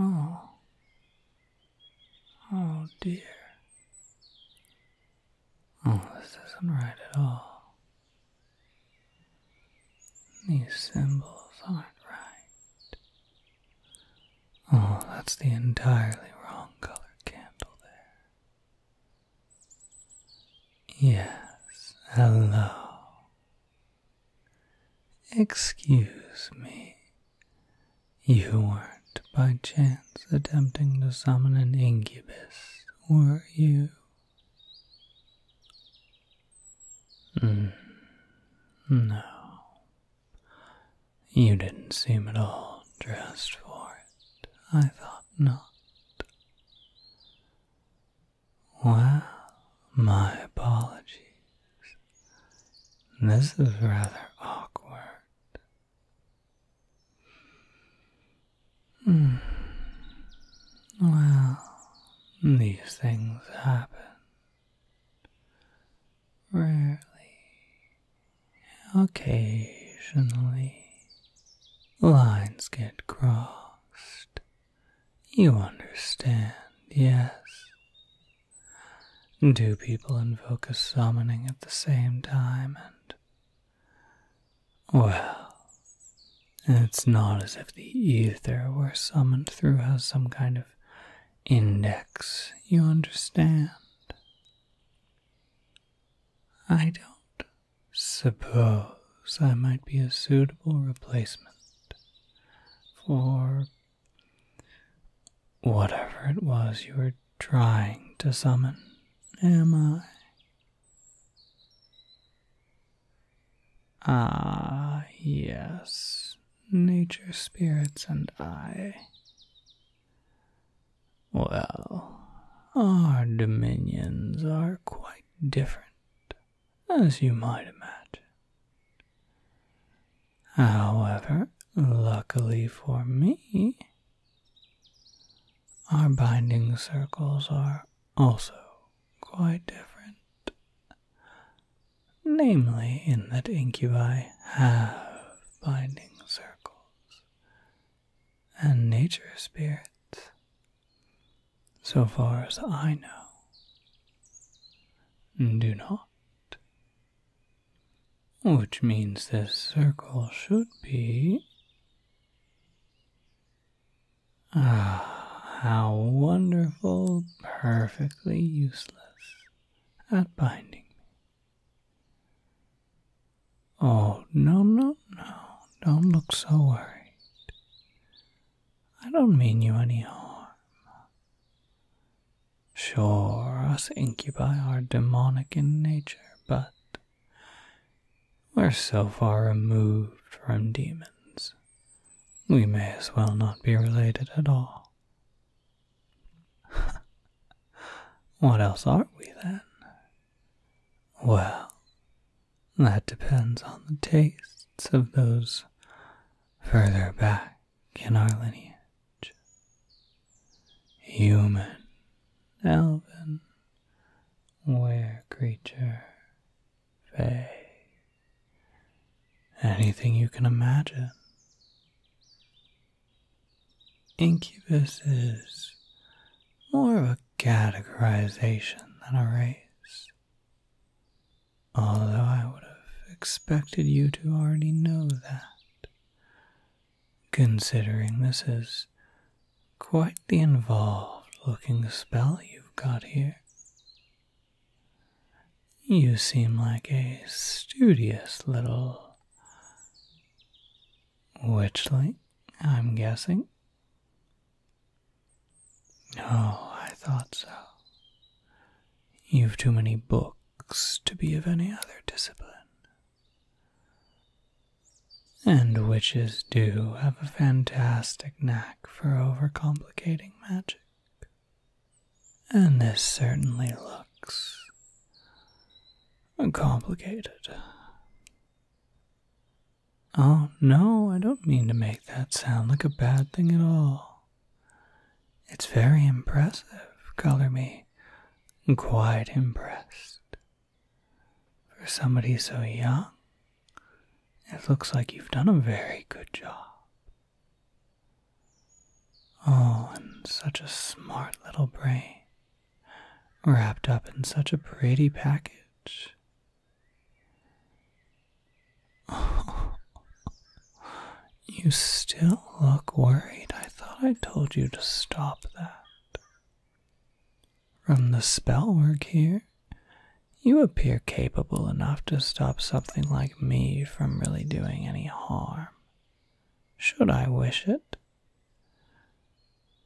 Oh. oh, oh dear. Oh, this isn't right at all. These symbols aren't right. Oh, that's the entirely wrong colored candle there. Yes, hello. Excuse me. You weren't by chance attempting to summon an incubus, were you? Mm. No. You didn't seem at all dressed for it. I thought not. Well, my apologies. This is rather awkward. Hmm. Well, these things happen. Rarely, occasionally, lines get crossed. You understand, yes. Do people invoke a summoning at the same time and. Well, it's not as if the ether were summoned through some kind of index, you understand? I don't suppose I might be a suitable replacement for whatever it was you were trying to summon, am I? Ah, yes, nature, spirits, and I well, our dominions are quite different, as you might imagine. However, luckily for me, our binding circles are also quite different namely, in that incubi have binding circles and nature spirits, so far as I know, do not. Which means this circle should be. Ah, how wonderful, perfectly useless at binding me. Oh, no, no, no. Don't look so worried. I don't mean you any harm. Sure, us incubi are demonic in nature, but we're so far removed from demons, we may as well not be related at all. what else are we then? Well, that depends on the tastes of those further back in our lineage. Human, elven, were creature, fae, anything you can imagine. Incubus is more of a categorization than a race, although I would have expected you to already know that, considering this is quite the involved looking spell you've got here. You seem like a studious little witchling, I'm guessing. Oh, I thought so. You've too many books to be of any other discipline. And witches do have a fantastic knack for overcomplicating magic. And this certainly looks complicated. Oh, no, I don't mean to make that sound like a bad thing at all. It's very impressive, color me quite impressed. For somebody so young, it looks like you've done a very good job. Oh, and such a smart little brain, wrapped up in such a pretty package. you still look worried. I thought I told you to stop that. From the spell work here, you appear capable enough to stop something like me from really doing any harm should I wish it?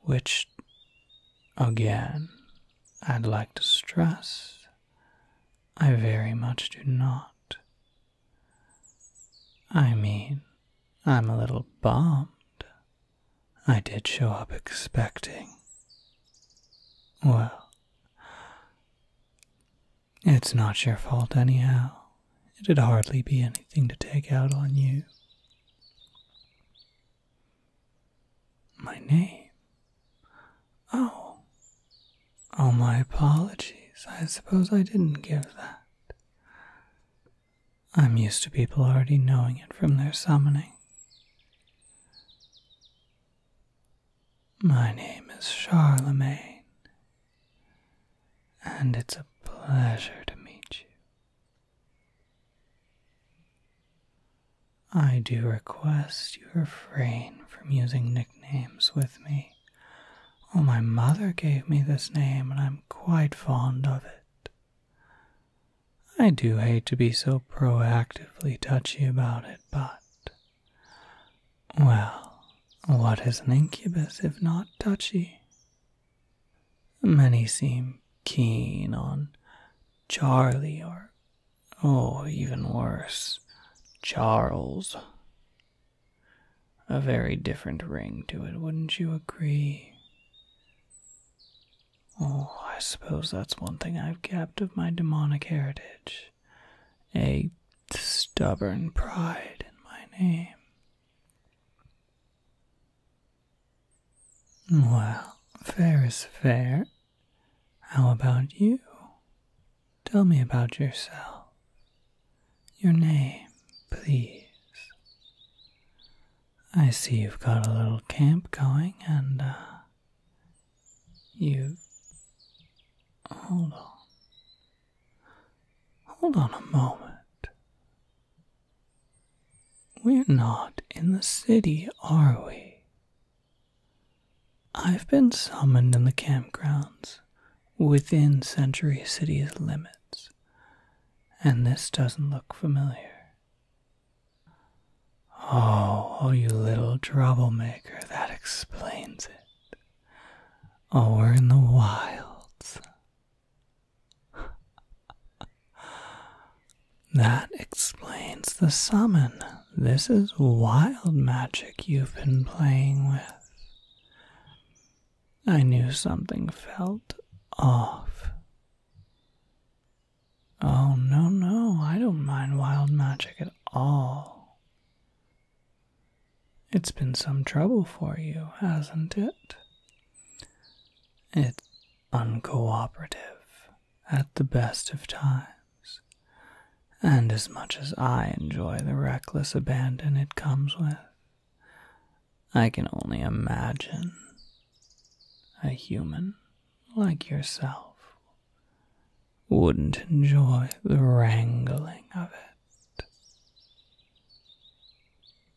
Which, again, I'd like to stress, I very much do not. I mean, I'm a little bummed. I did show up expecting. Well, it's not your fault, anyhow. It'd hardly be anything to take out on you. My name? Oh. Oh, my apologies. I suppose I didn't give that. I'm used to people already knowing it from their summoning. My name is Charlemagne, and it's a pleasure to meet you. I do request you refrain from using nicknames with me. Oh, my mother gave me this name, and I'm quite fond of it. I do hate to be so proactively touchy about it, but well, what is an incubus if not touchy? Many seem keen on Charlie or, oh, even worse, Charles. A very different ring to it, wouldn't you agree? Oh, I suppose that's one thing I've kept of my demonic heritage. A stubborn pride in my name. Well, fair is fair. How about you? Tell me about yourself. Your name, please. I see you've got a little camp going and, uh, you. Hold on. Hold on a moment. We're not in the city, are we? I've been summoned in the campgrounds within Century City's limits, and this doesn't look familiar. Oh, oh, you little troublemaker, that explains it. Oh, we're in the wilds. that explains the summon. This is wild magic you've been playing with. I knew something felt off. Oh, no, no, I don't mind wild magic at all. It's been some trouble for you, hasn't it? It's uncooperative at the best of times, and as much as I enjoy the reckless abandon it comes with, I can only imagine a human like yourself wouldn't enjoy the wrangling of it.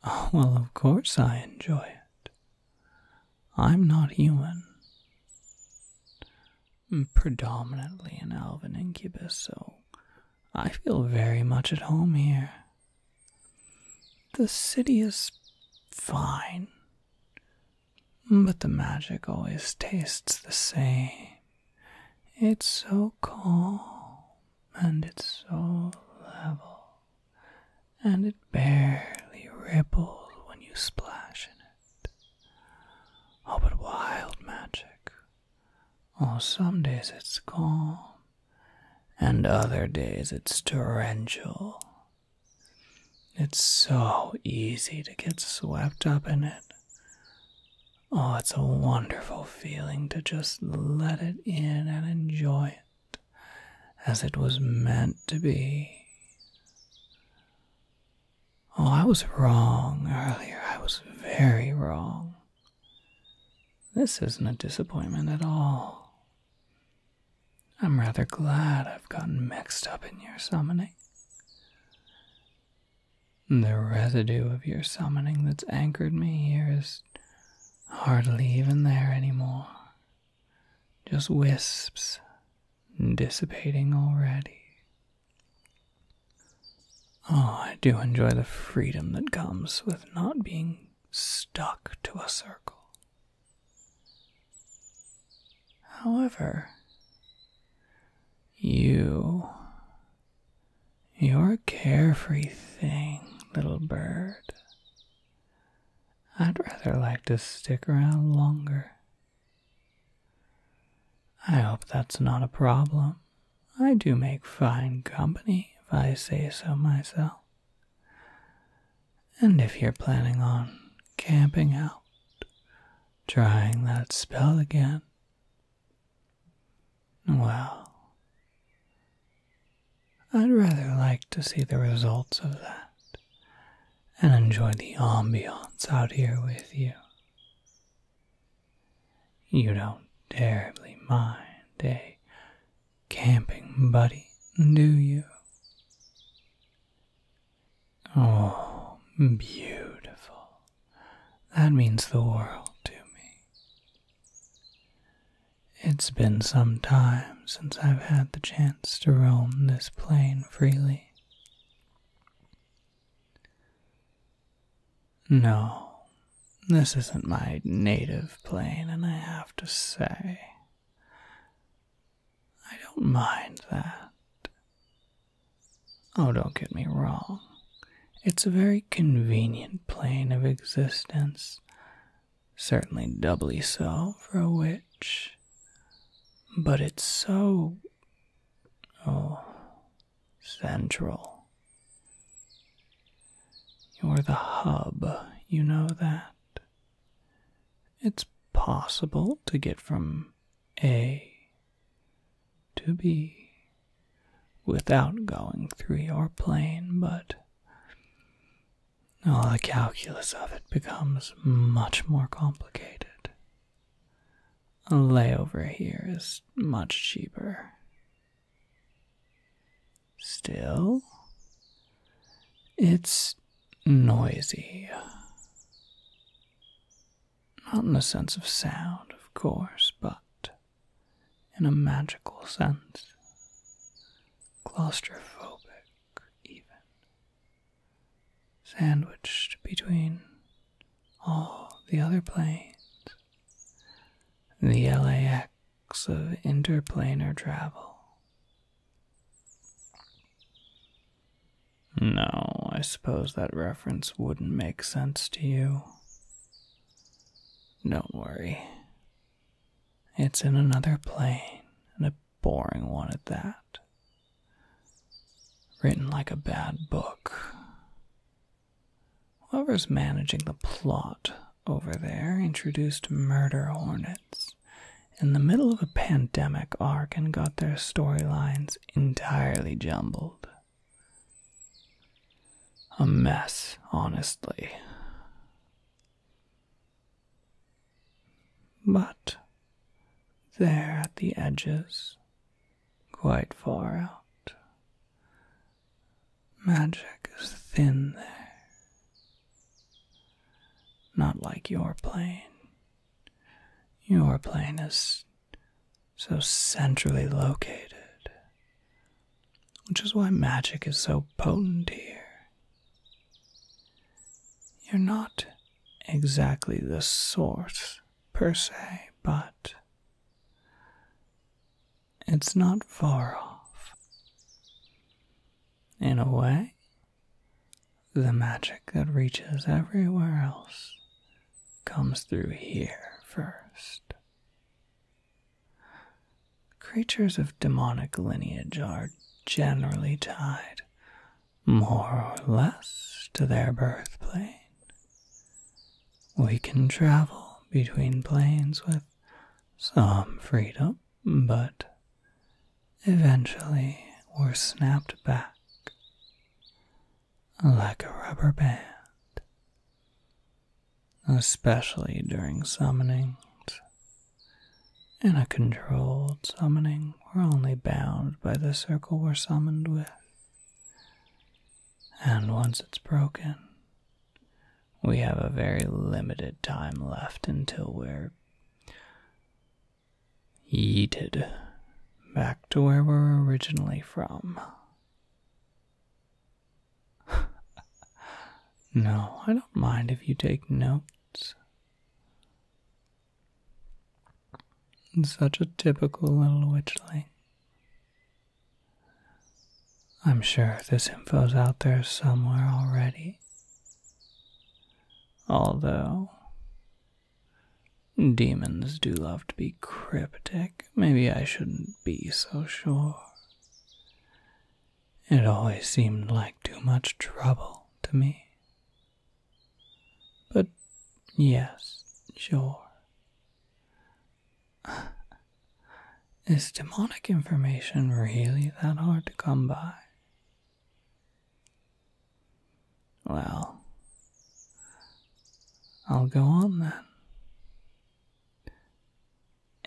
Oh, well, of course I enjoy it. I'm not human. I'm predominantly an elven incubus, so I feel very much at home here. The city is fine, but the magic always tastes the same. It's so calm and it's so level, and it barely ripples when you splash in it. Oh, but wild magic. Oh, some days it's calm, and other days it's torrential. It's so easy to get swept up in it. Oh, it's a wonderful feeling to just let it in and enjoy it as it was meant to be. Oh, I was wrong earlier. I was very wrong. This isn't a disappointment at all. I'm rather glad I've gotten mixed up in your summoning. The residue of your summoning that's anchored me here is hardly even there anymore. Just wisps dissipating already. Oh, I do enjoy the freedom that comes with not being stuck to a circle. However, you you're a carefree thing, little bird. I'd rather like to stick around longer. I hope that's not a problem. I do make fine company, if I say so myself. And if you're planning on camping out, trying that spell again, well, I'd rather like to see the results of that and enjoy the ambiance out here with you. You don't terribly mind a camping buddy, do you? Oh, beautiful. That means the world to me. It's been some time since I've had the chance to roam this plain freely. No, this isn't my native plain, and I have to say, I don't mind that. Oh, don't get me wrong. It's a very convenient plane of existence, certainly doubly so for a witch. But it's so. oh. central. You're the hub, you know that. It's possible to get from A to be without going through your plane, but all the calculus of it becomes much more complicated. A layover here is much cheaper. Still, it's noisy. Not in the sense of sound, of course, but in a magical sense. Claustrophobic, even. Sandwiched between all the other planes. The LAX of interplanar travel. No, I suppose that reference wouldn't make sense to you. Don't worry. It's in another plane, and a boring one at that. Written like a bad book. Whoever's managing the plot over there introduced murder hornets in the middle of a pandemic arc and got their storylines entirely jumbled a mess, honestly. But there at the edges, quite far out, magic is thin there. Not like your plane. Your plane is so centrally located, which is why magic is so potent here. You're not exactly the source per se, but it's not far off. In a way, the magic that reaches everywhere else comes through here first. Creatures of demonic lineage are generally tied, more or less, to their birth plane. We can travel between planes with some freedom, but eventually we're snapped back like a rubber band, especially during summonings. In a controlled summoning, we're only bound by the circle we're summoned with. And once it's broken, we have a very limited time left until we're yeeted back to where we're originally from. no, I don't mind if you take notes. Such a typical little witchling. I'm sure this info's out there somewhere already. Although, Demons do love to be cryptic. Maybe I shouldn't be so sure. It always seemed like too much trouble to me. But yes, sure. Is demonic information really that hard to come by? Well, I'll go on then.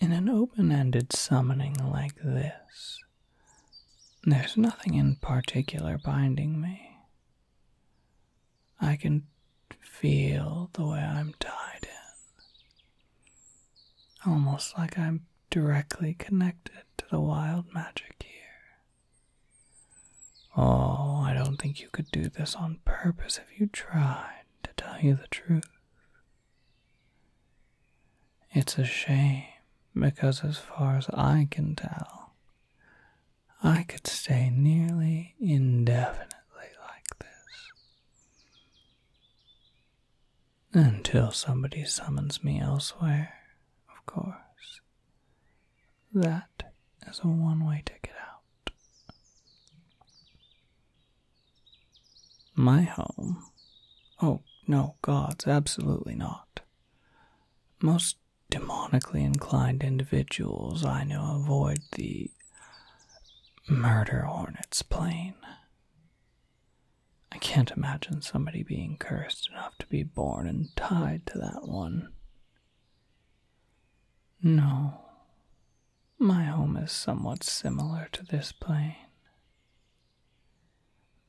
In an open ended summoning like this, there's nothing in particular binding me. I can feel the way I'm tied in, almost like I'm directly connected to the wild magic here. Oh, I don't think you could do this on purpose if you tried, to tell you the truth. It's a shame, because as far as I can tell, I could stay nearly indefinitely like this. Until somebody summons me elsewhere, of course. That is a one way ticket out. My home. Oh, no, gods, absolutely not. Most demonically inclined individuals I know avoid the murder hornet's plane. I can't imagine somebody being cursed enough to be born and tied to that one. No, my home is somewhat similar to this plane.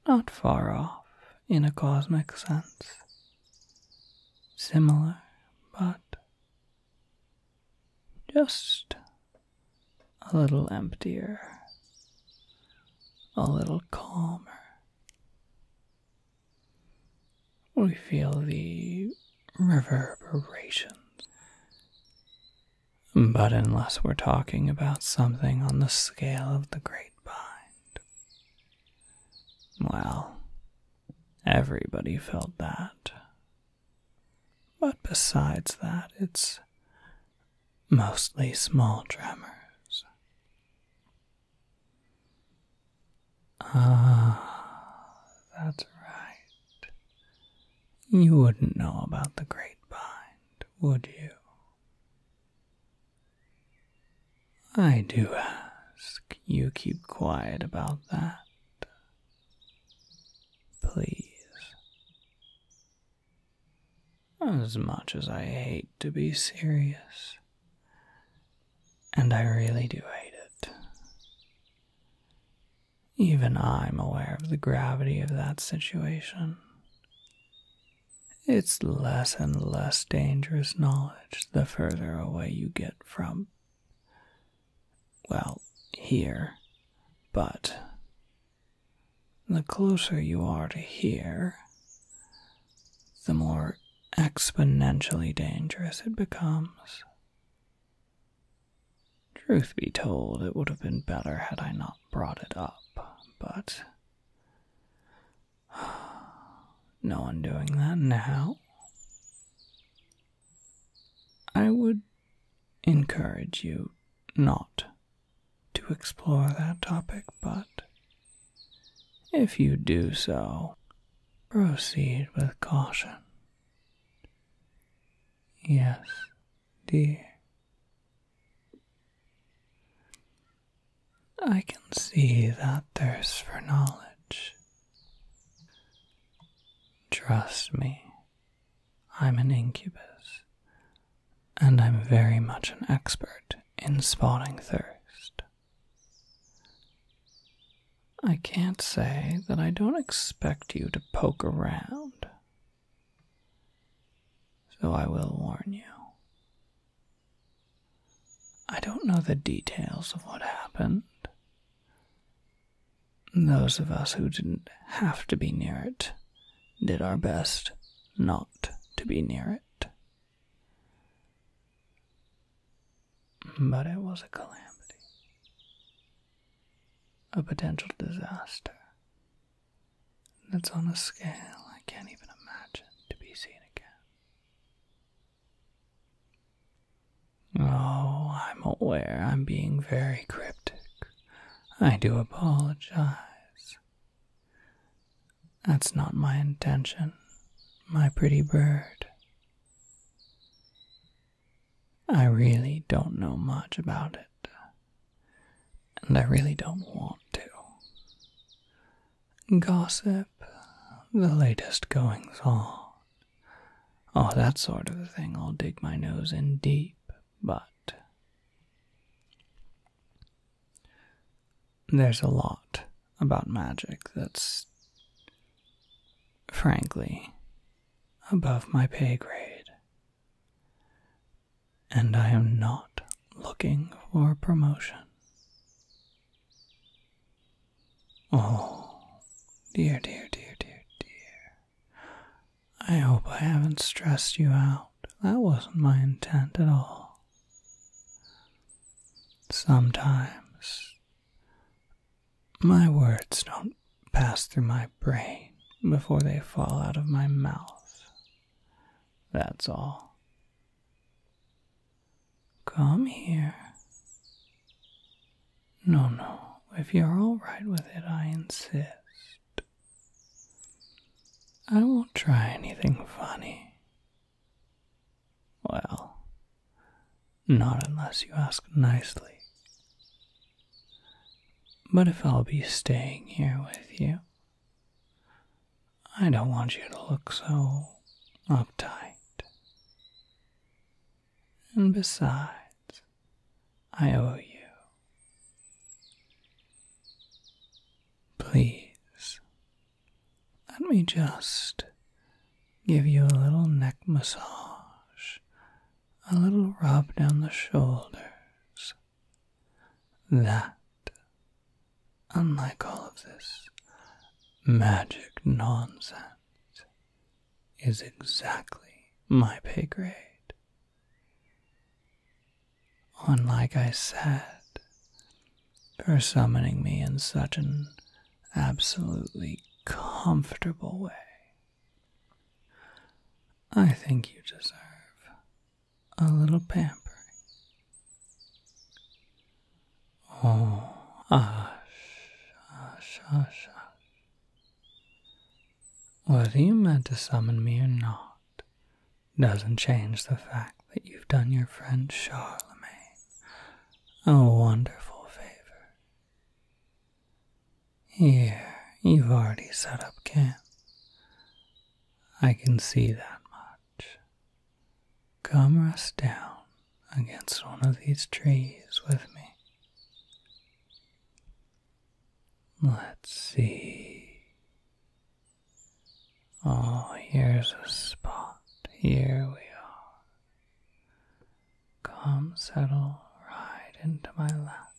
Not far off in a cosmic sense. Similar, but just a little emptier, a little calmer. We feel the reverberations. But unless we're talking about something on the scale of the Great Bind, well, everybody felt that. But besides that, it's mostly small tremors. Ah, that's right. You wouldn't know about the Great Bind, would you? I do ask you keep quiet about that. Please. As much as I hate to be serious, and I really do hate it. Even I'm aware of the gravity of that situation. It's less and less dangerous knowledge the further away you get from, well, here. But the closer you are to here, the more exponentially dangerous it becomes. Truth be told, it would have been better had I not brought it up, but no one doing that now. I would encourage you not to explore that topic, but if you do so, Proceed with caution. Yes, dear. I can see that thirst for knowledge. Trust me, I'm an incubus, and I'm very much an expert in spotting thirst. I can't say that I don't expect you to poke around, so I will warn you. I don't know the details of what happened. Those of us who didn't have to be near it did our best not to be near it. But it was a calamity, a potential disaster that's on a scale I can't even imagine to be seen again. Oh, I'm aware I'm being very cryptic. I do apologize. That's not my intention, my pretty bird. I really don't know much about it, and I really don't want to. Gossip, the latest goings on, oh, that sort of thing, I'll dig my nose in deep, but. There's a lot about magic that's, frankly, above my pay grade. And I am not looking for promotion. Oh, dear, dear, dear, dear, dear. I hope I haven't stressed you out. That wasn't my intent at all. Sometimes my words don't pass through my brain before they fall out of my mouth. That's all. Come here. No, no. If you're all right with it, I insist. I won't try anything funny. Well, not unless you ask nicely. But if I'll be staying here with you, I don't want you to look so uptight. And besides, I owe you. Please let me just give you a little neck massage, a little rub down the shoulders. That, unlike all of this magic nonsense, is exactly my pay grade. On, like I said, for summoning me in such an absolutely comfortable way. I think you deserve a little pampering. Oh, hush, hush, hush, hush. Whether you meant to summon me or not doesn't change the fact that you've done your friend Charlemagne a wonderful favor. Here, you've already set up camp. I can see that much. Come rest down against one of these trees with me. Let's see. Oh, here's a spot. Here we are. Come, settle right into my lap.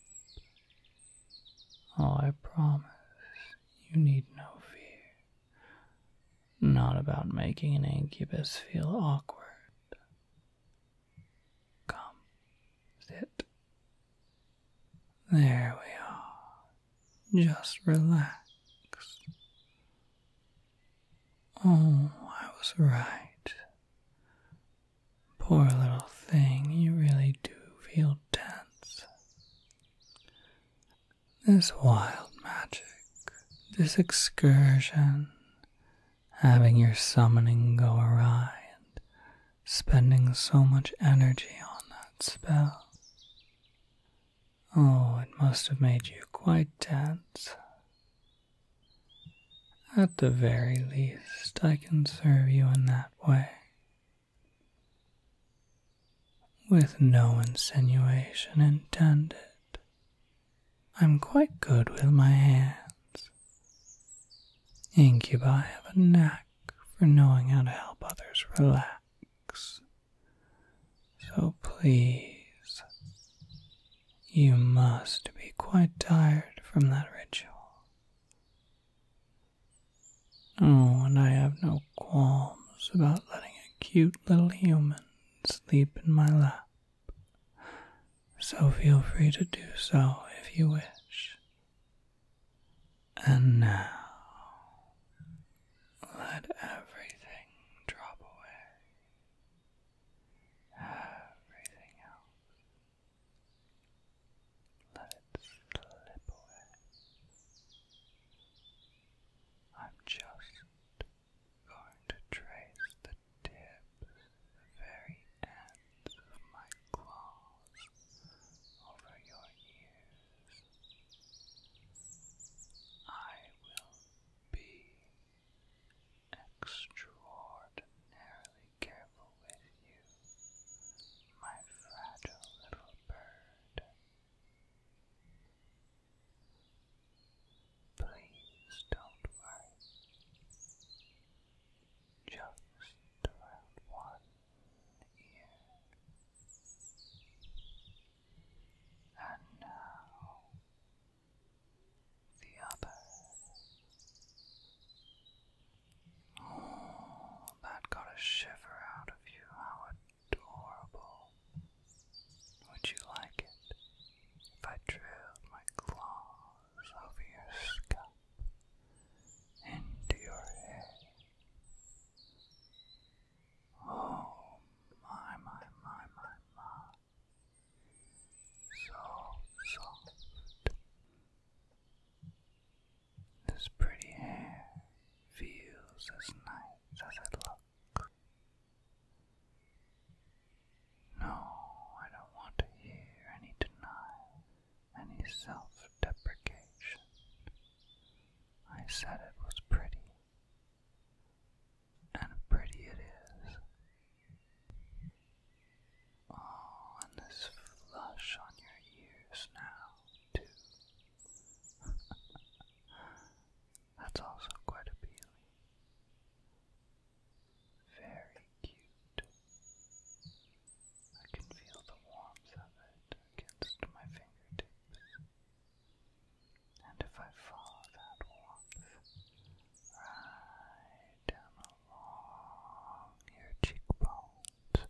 Oh, I promise you need no fear. Not about making an incubus feel awkward. Come, sit. There we are. Just relax. Oh, I was right. Poor little thing, you really do feel tense. This wild magic, this excursion, having your summoning go awry and spending so much energy on that spell. Oh, it must have made you quite tense. At the very least, I can serve you in that way. With no insinuation intended, I'm quite good with my hands. Incubi have a knack for knowing how to help others relax so please, you must be quite tired from that ritual. Oh, and I have no qualms about letting a cute little human sleep in my lap. So feel free to do so if you wish. And now, let everything drop away. Everything else, let it slip away. I'm just going to trace the tips, very ends of my claws over your ears. I will be extraordinarily careful with you, my fragile little bird. Please don't worry. Just around one ear. And now the other. Oh, that got a shiver out of you. How adorable. Would you like it if I drilled my claws over your scalp into your head? Oh my my my my my so soft this pretty hair feels as nice as it looks. No, I don't want to hear any denial, any self deprecation. I said it was pretty and pretty it is. Oh, and this flush on your ears now, too. That's also quite appealing. Very cute. I can feel the warmth of it against my fingertips. And if I follow that warmth right down along your cheekbones,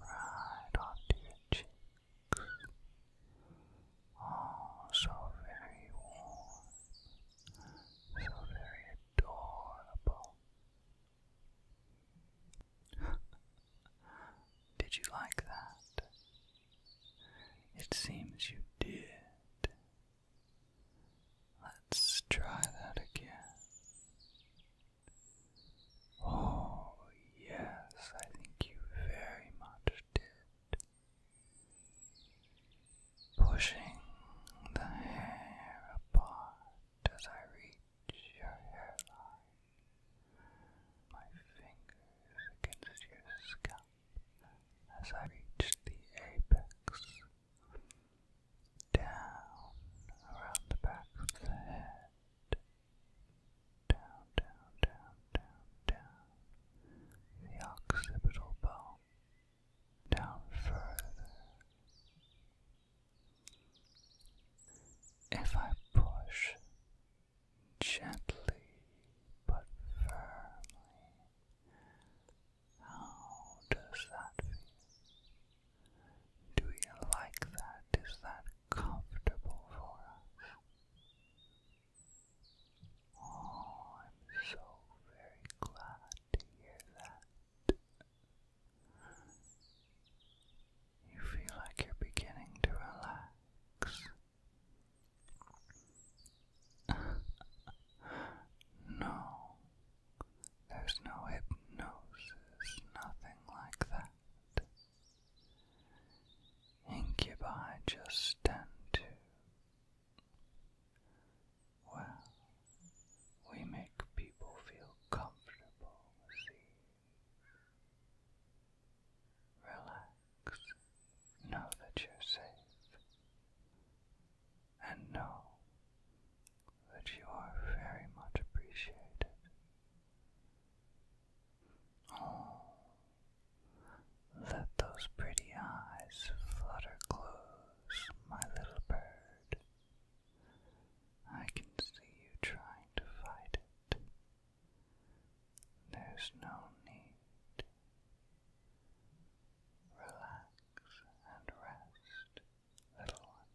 right onto your cheeks, oh, so very warm, so very adorable. Did you like that? It seems you did. Let's try that again. Oh, yes, I think you very much did. Pushing the hair apart as I reach your hairline, my fingers against your scalp as I reach the apex, down around the back of the head, down, down, down, down, down, the occipital bone, down further. If I push gently but firmly. How does that feel? Do you like that? Is that comfortable for us? Oh, I'm so very glad to hear that. You feel like you're beginning to relax. no, there's no hypnosis, nothing like that. Incubi just tend to. Well, we make people feel comfortable, see. Relax. Know that you're safe. And know that you are very much appreciated. Oh, let those pretty eyes flutter close, my little bird. I can see you trying to fight it. There's no need. Relax and rest, little one.